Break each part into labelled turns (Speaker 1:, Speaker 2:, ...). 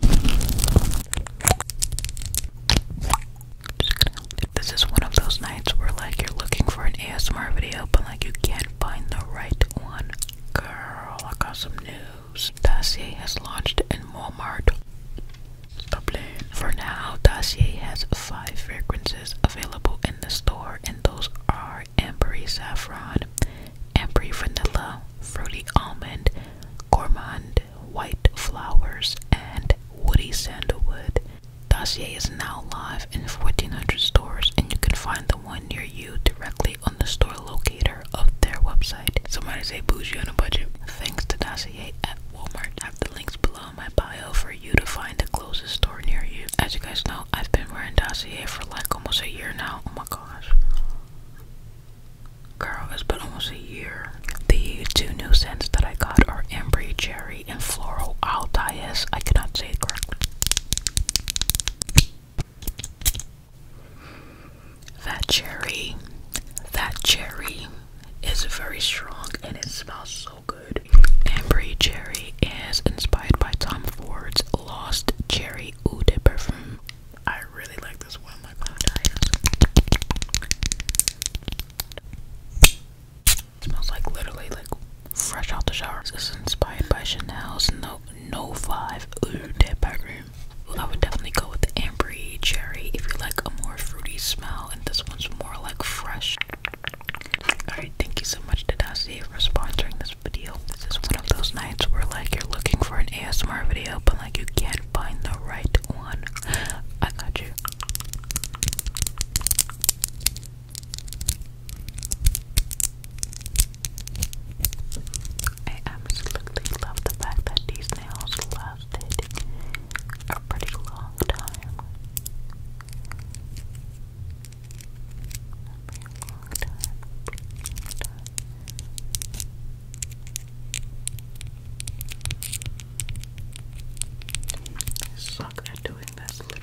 Speaker 1: This is one of those nights where like you're looking for an ASMR video but like you can't find the right one. Girl, I got some news. Dacier has launched in Walmart. For now, Dacier has five fragrances available in the store, and those are Ambery Saffron, Ambery Vanilla, Fruity Almond, Gourmand white flowers, and woody sandalwood. Dossier is now live in 1400 stores, and you can find the one near you directly on the store locator of their website. Somebody say bougie on a budget. Thanks to Dossier at Walmart. I have the links below in my bio for you to find the closest store near you. As you guys know, I've been wearing Dossier for like almost a year now. Oh my gosh. Girl, has been almost a year. The two new scents that I got are Embry Cherry and Floral Altais. I cannot say it correctly. That cherry, that cherry is very strong and it smells so good. Embry Cherry is inspired by Tom Ford's Lost Cherry Eau de Parfum. I really like this one. My mom tires. Smells like literally like fresh out the shower. This is inspired by Chanel's No No Five Ooh Dead by I would definitely go with the ambery cherry if you like a more fruity smell, and this one's more like fresh. Alright, thank you so much to Dasi for sponsoring this video. This is one of those nights where like you're looking for an ASMR video, but like you can't find the right one. I got you. I absolutely love the fact that these nails lasted a A pretty long time. Pretty long time suck at doing this, literally,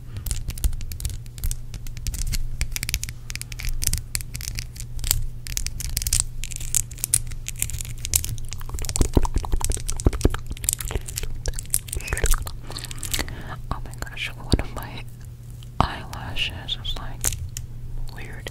Speaker 1: Oh my gosh, one of my eyelashes is like weird.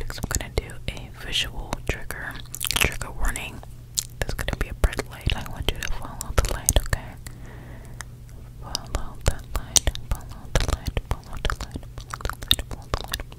Speaker 1: Next, I'm gonna do a visual trigger, trigger warning. There's gonna be a bright light. I want you to follow the light, okay? Follow the light. Follow the light. Follow the light. Follow the light. Follow the light.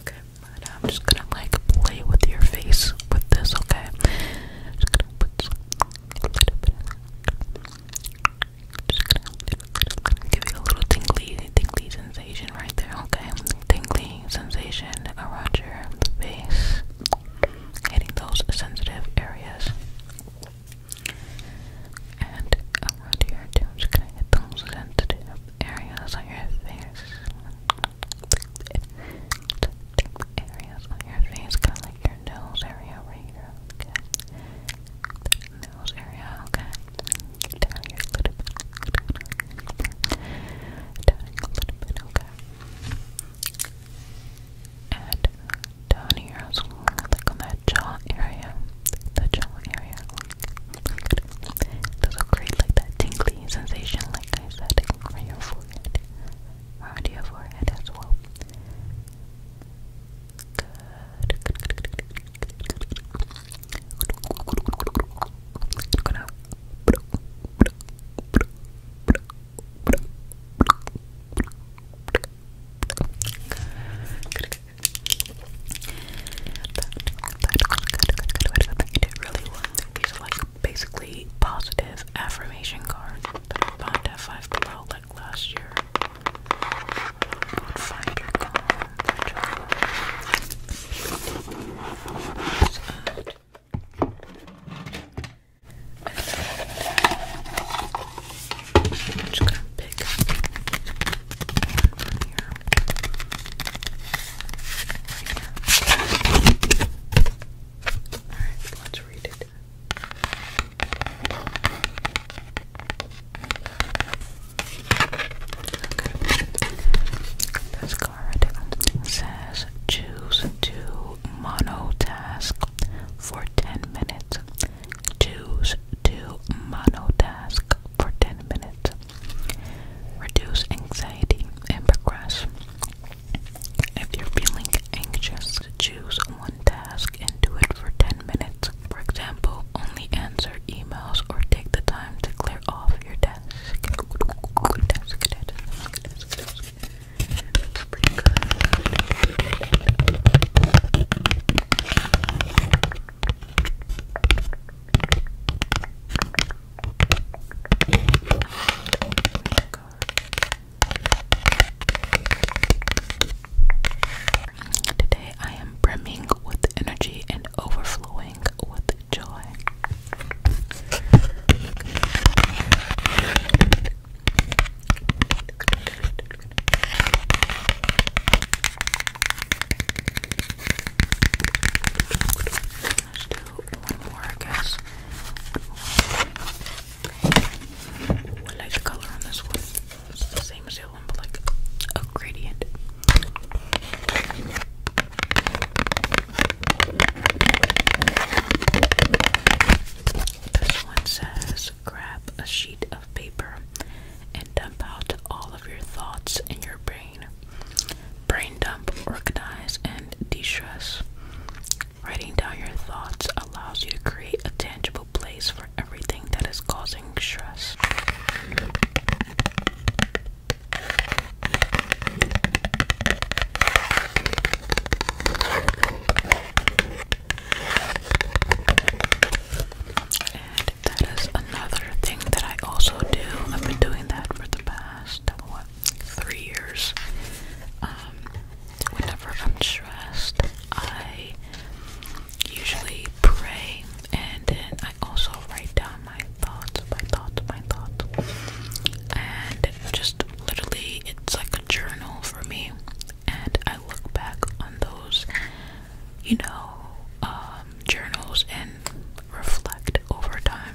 Speaker 1: Okay, I'm just gonna like play with your face with this, okay? Just just gonna give you a little tingly, tingly sensation right there, okay? Tingly sensation around your face, hitting those sensitive areas. And under your just gonna hit those sensitive areas on your face. areas on your face, kind of like your nose area right here, okay? Nose area, okay? Down here a little bit. Down here a little bit, okay? And down here as well, like on that jaw area, the jaw area, those will create like that tingly sensation, like I said, around your forehead, around your forehead as well. good, you did really well. These are like basically positive affirmation cards that I bought at Five Below like last year. Find your calm. just gonna pick Alright, let's read it. This card says choose to monotask for 10 minutes. Choose to monotask for 10 minutes. Reduce anxiety and progress. If you're feeling anxious, choose one task and do it for 10 minutes. For example, only answer emails or take the time to clear off your desk. Today I am brimming with energy and overflowing with joy. Let's do one more, I guess. I like the color on this one. It's the same as the other one, but like a gradient. This one says grab a sheet of paper and dump out all of your thoughts in your brain. Brain dump, organize, and de stress. Writing down your thoughts allows you to create a tangible place for everything that is causing stress that is another thing that I also do. I've been doing that for the past three years. Um, whenever I'm stressed, I usually pray, and then I also write down my thoughts, my thoughts, my thoughts, and just literally, it's like a journal for me. And I look back on those, you know, um, journals and reflect over time.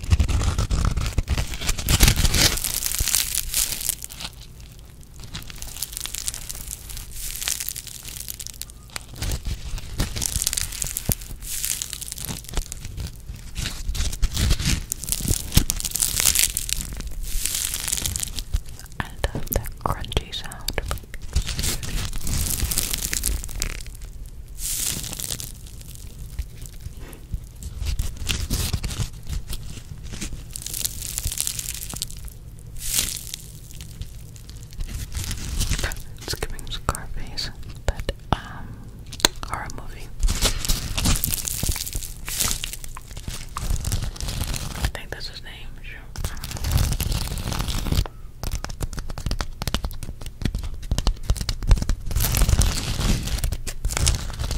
Speaker 1: I love that crunchy sound. It's giving Scarface, but um, horror movie. I think that's his name. Sure.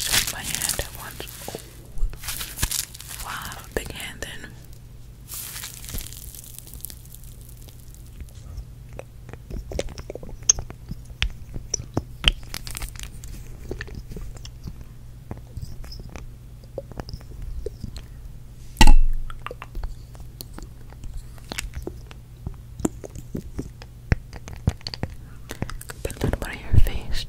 Speaker 1: Squeeze my hand at once. Oh. Wow, I have a big hand then. Put a little bit your face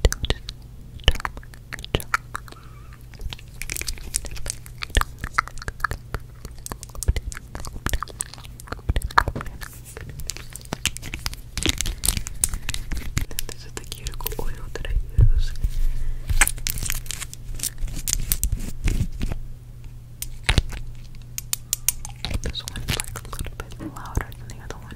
Speaker 1: this is the cuticle oil that I use. This one's like a little bit louder than the other one.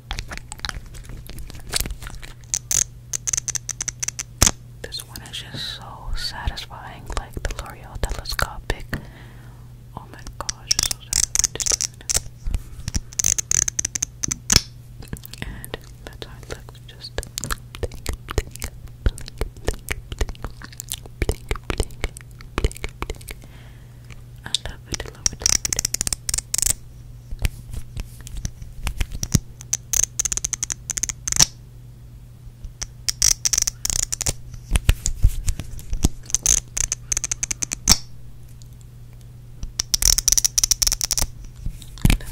Speaker 1: This one is just so satisfying, like the L'Oreal telescopic. Oh my gosh, it's so satisfying. and that's how looks. Just I love it, love it, love it.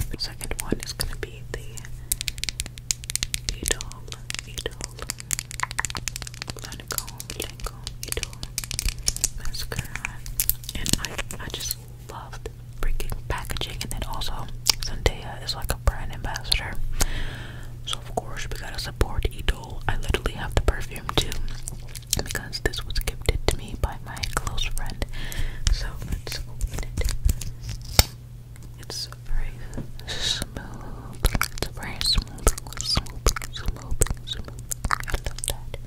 Speaker 1: The second one is going to be the idol, idol, Lancome, Lancome, idol mascara, and I, I just love freaking packaging. And then also, Zendaya is like a brand ambassador. So, of course, we gotta support Idol. I literally have the perfume too because this was gifted to me by my close friend. So, let's open it. It's very smooth. It's very smooth, smooth, smooth, smooth. I love that.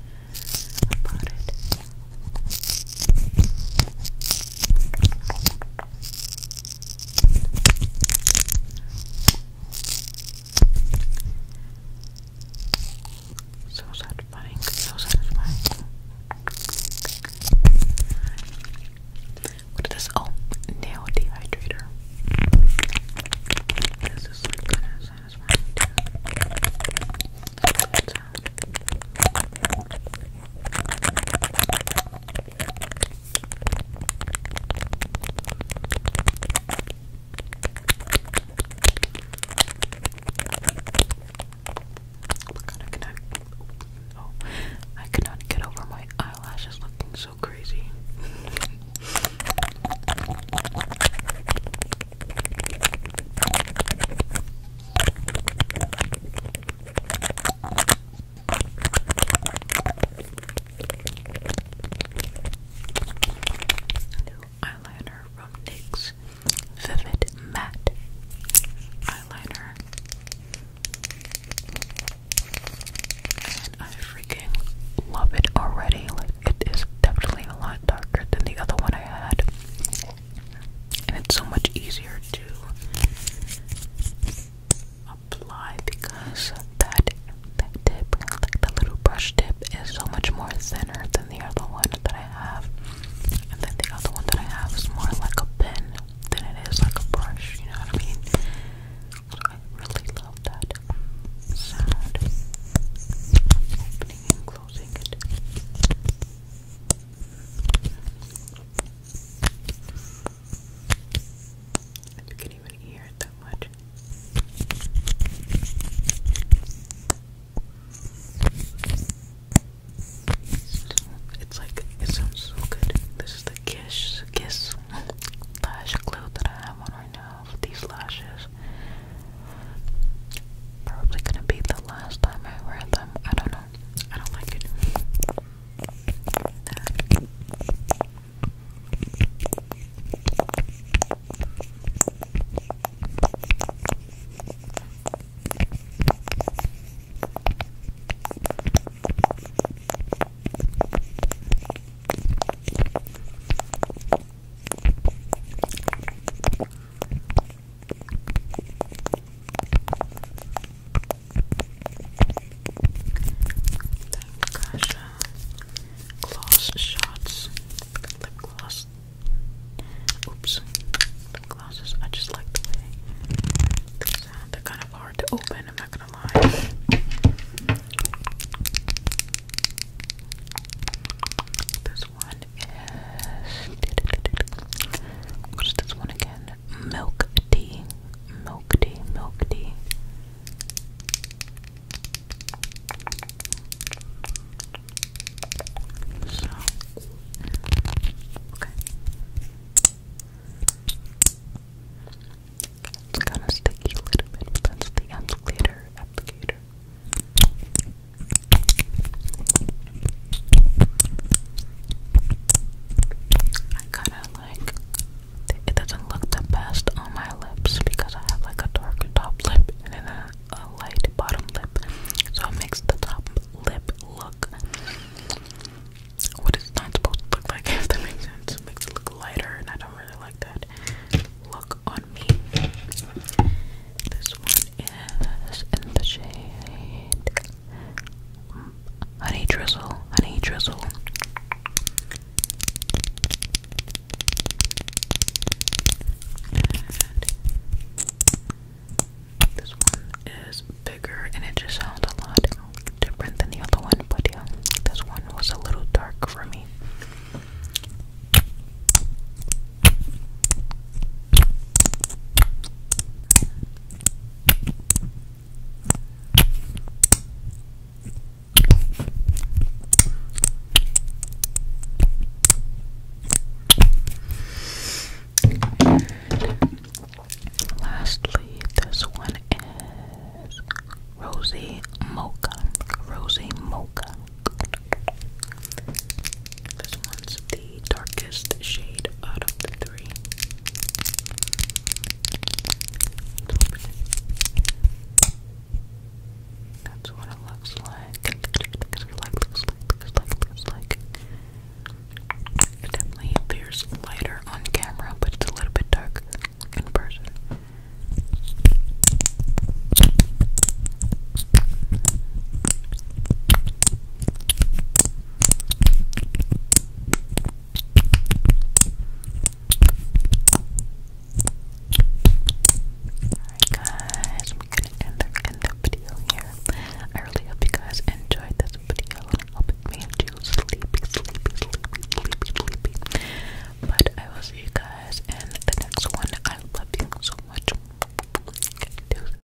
Speaker 1: So satisfying, so satisfying. What is this? Oh, nail dehydrator. This is like kind I cannot, oh, I cannot get over my eyelashes looking so crazy. New eyeliner from NYX Vivid Matte Eyeliner. And I freaking love it already. Like, it is definitely a lot darker than the other one I had and it's so much easier to apply because that, that tip, like the little brush tip, is so much more thinner than the other one that I have. And then the other one that I have is more like a pen than it is like a brush, you know what I mean? I really love that sound. Opening closing it you can even hear it that much. It's like it sounds so good. This is the Kiss Kiss lash glue that I have on right now with these lashes. Probably gonna be the last time I wear them. I don't know. I don't like it. Gosh, shots, lip Oops, lip I just like the way they sound. They're kind of hard to open. I'm not gonna lie one is what is this one again? Milk tea. Milk tea, milk tea. So okay. It's kind of sticky a little bit, but that's the applicator applicator. I kinda like it doesn't look the best on my lips because I have like a dark top lip and then a, a light bottom lip. So it makes the top lip look what it's not supposed to look like if that makes sense. It makes it look lighter and I don't really like that look on me. This one is in the shade Honey Drizzle, Honey Drizzle. this one is bigger and it just sounds a lot different than the other one, but yeah, this one was a little dark for me. Lastly, this one is Rosy Mocha. Rosy Mocha. This one's the the darkest shade out of the 3 That's what it looks like. Like, looks looks lighter on camera, but it's a little bit darker in person guys, we're gonna end the, end the video here. I really hope you guys enjoyed this video and hope it you sleepy, sleepy, sleepy, sleepy, sleepy. But I will see you guys in the next one. I love you so much.